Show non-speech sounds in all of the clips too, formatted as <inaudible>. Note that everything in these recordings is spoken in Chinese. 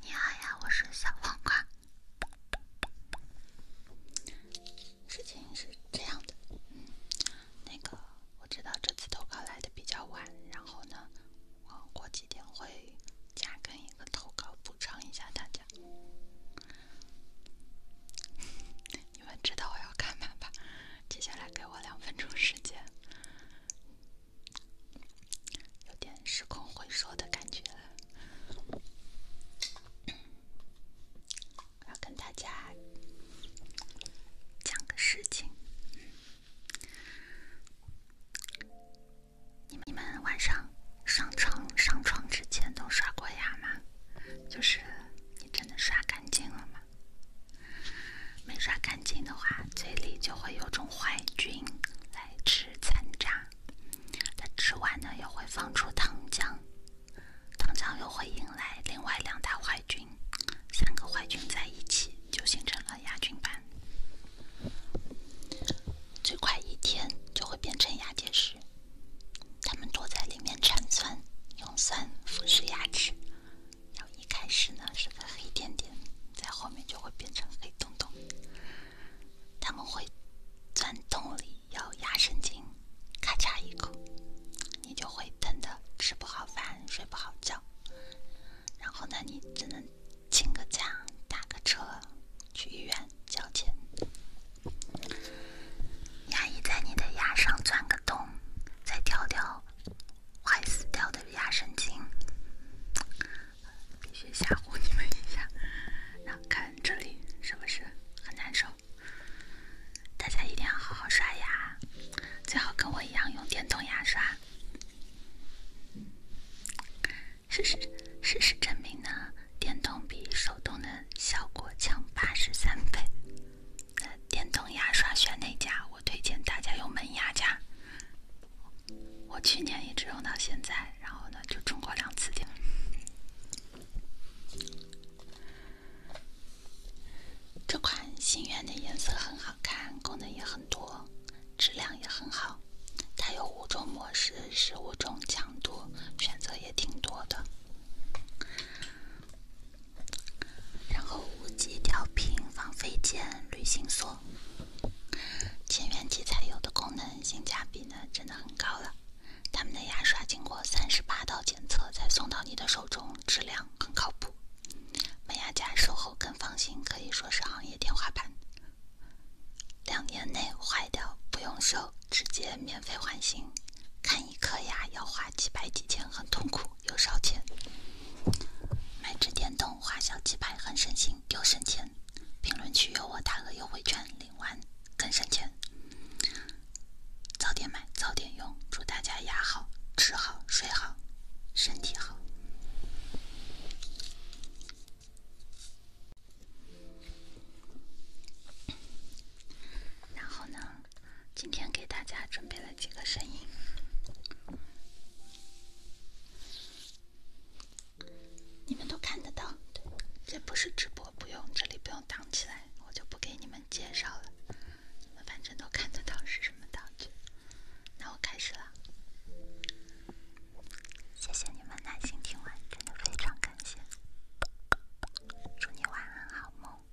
你好呀，我是小黄瓜。事情是这样的，那个我知道这次投稿来的比较晚，然后呢，我过几天会加更一个投稿补偿一下大家。你们知道我要干嘛吧？接下来给我两分钟时间，有点时空回溯的感觉了。要跟大家讲个事情：，你你们晚上上床上床之前都刷过牙吗？就是你真的刷干净了吗？没刷干净的话，嘴里就会有种坏菌来吃残渣，它吃完呢又会放出糖浆，糖浆又会引来另外两大坏菌，三个坏菌在一起就形成了牙菌斑，最快一天就会变成牙结石，它们躲在里面产酸，用酸腐蚀牙齿。然后一开始呢是个黑点点，在后面就会变成黑洞洞。他们会钻洞里咬牙神经，咔嚓一口，你就会疼的吃不好饭、睡不好觉。然后呢，你只能请个假、打个车去医院交钱。牙医在你的牙上钻个洞，再调调。坏死掉的牙神经，必须吓唬你们一下。然后看这里，是不是很难受？大家一定要好好刷牙，最好跟我一样用电动牙刷。事实事实证明呢，电动比手动的效果强八十三倍。电动牙刷选哪家？我推荐大家用门牙家，我去年一直用到现在，然后呢就中过两次电。这款心愿的颜色很好看，功能也很多，质量也很好。它有五种模式，十五种强度选择也挺多的。然后无极调频防飞溅、旅行锁，千元级才有的功能，性价比呢真的很高了。他们的牙刷经过三十八道检测才送到你的手中，质量很靠谱。美牙家售后更放心，可以说是行业天花板。两年内坏掉不用修，直接免费换新。看一颗牙要花几百几千，很痛苦又烧钱；买只电动花小几百，很省心又省钱。评论区有我大额优惠券，领完更省钱。早点买，早点用。祝大家牙好，吃好，睡好，身体好。然后呢？今天给大家准备了几个声音，你们都看得到。这不是直播，不用这里不用挡起来，我就不给你们介绍了，你们反正都看得到是什么道具。那我开始了，谢谢你们耐心听完，真的非常感谢。祝你晚安，好梦。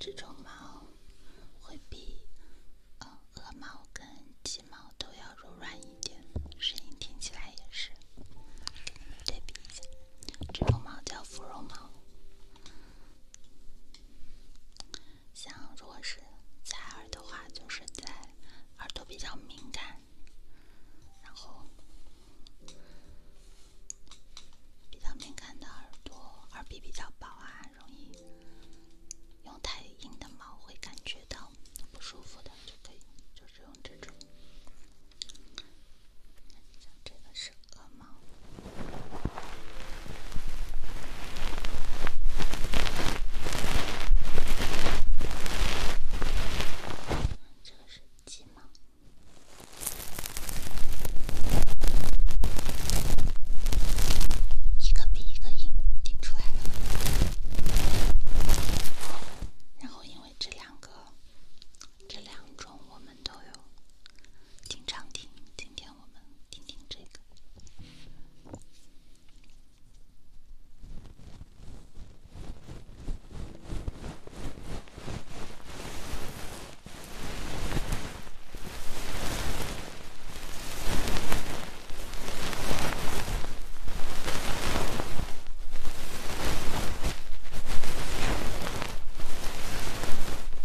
这种毛会比呃鹅毛跟鸡毛都要柔软一点，声音听起来也是。对比一下，这种毛叫芙蓉毛。像如果是采耳的话，就是在耳朵比较敏感，然后比较敏感的耳朵，耳壁比较薄啊，容易用太硬的毛会感觉到不舒服的，就可以就是用这种，像这个是。这是鸡毛，一个比一个硬，然后因为这两个，这两种我们都有，经常听，今天。让我们听听这个。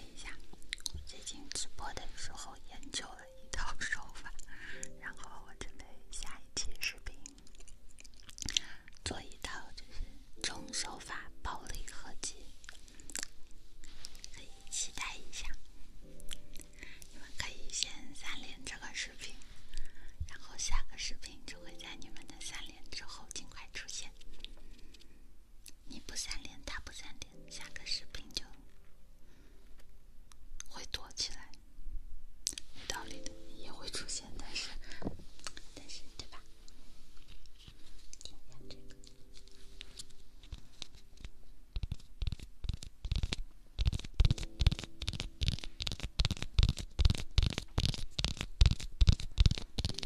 一下，最近直播的时候研究了一套手法，然后我准备下一期视频做一套就是冲手法暴力合集，可以期待一下。你们可以先三连这个视频，然后下个视频就会在你们的三连之后尽快出现。你不三连，他不三连，下个视频就会躲起来，有道理的，也会出现，但是，但是，对吧？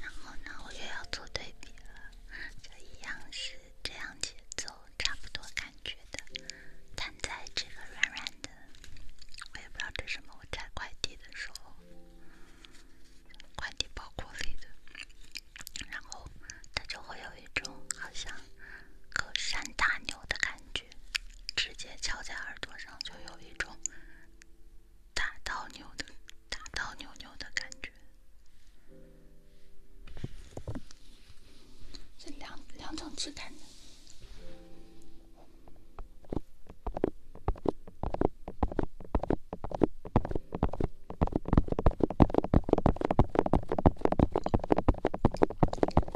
然后呢，我又要做对比了，就一样是这样节奏，差不多感觉的，弹在这个软软的，我也不知道这是什么，我拆快递的时候，快递包裹里的。然后它就会有一种好像隔山打牛的感觉，直接敲在耳朵上就有一种打到牛的打到牛牛的感觉。这两两种质感。<laughs>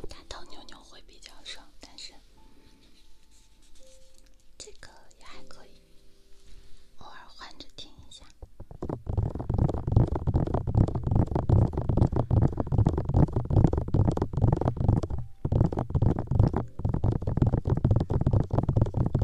打到牛牛会比较爽，但是这个也还可以，偶尔换着听一下。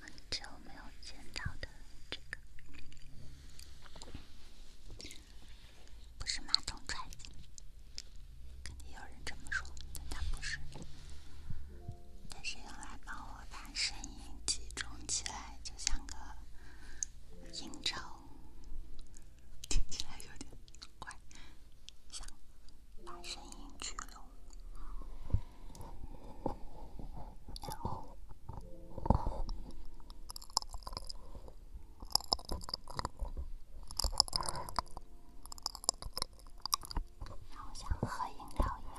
很久没有见到的这个，不是马桶搋，肯定有人这么说，但它不是，它是用来帮我把声音集中起来，就像个音罩，听起来有点怪，想把声音聚拢。然后像喝饮料一样。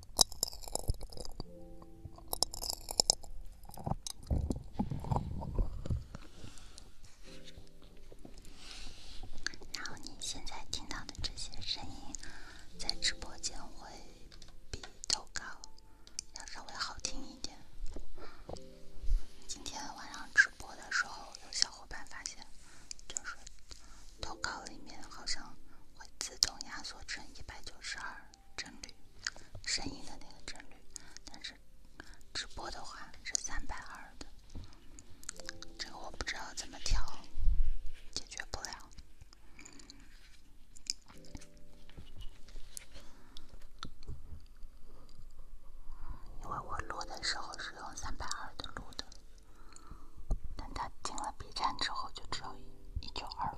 然后你现在听到的这些声音，在直播间会比投稿要稍微好听一点。今天晚上直播的时候，有小伙伴发现，就是。投稿里面好像会自动压缩成一百九十二帧率声音的那个帧率，但是直播的话是三百二的，这个我不知道怎么调，解决不了，因为我录的时候是用三百二的录的。但他进了 B 站之后，就只有一九二五。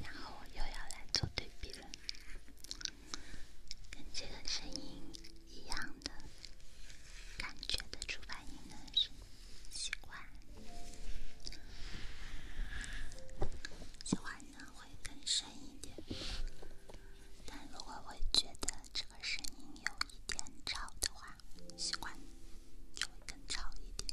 然后又要来做对比了，跟这个声音一样的感觉的出发音呢是。习惯，习惯呢会更深一点。但如果我觉得这个声音有一点吵的话，习惯就会更吵一点。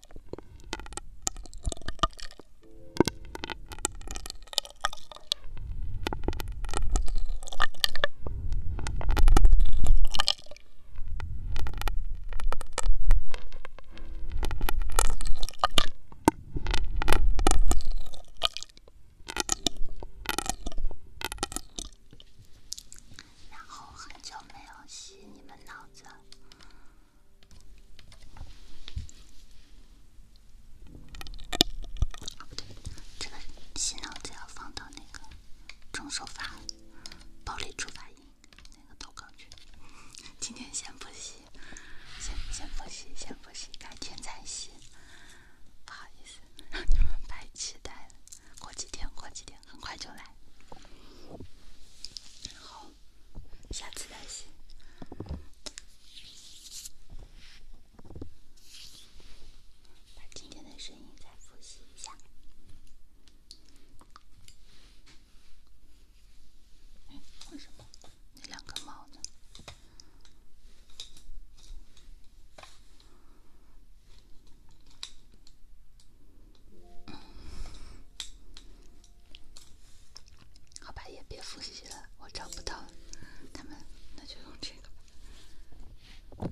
然后很久没有洗你们脑子。对，这个洗脑子要放到那个重手法、暴力触发音那个投稿去。今天先不洗，先先不洗，先不洗，改天再洗。不好意思，让 <laughs> 你们太期待了。过几天，过几天，很快就来。好，下次再写。把今天的声音再复习一下。嗯，为什么那两个帽子？好吧，也别复习了，我找不到他们，那就用这个吧。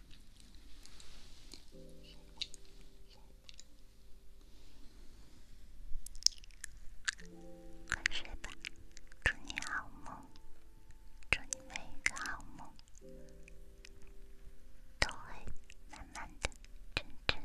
快睡吧，祝你好梦，祝你每一个好梦都会慢慢的真吞。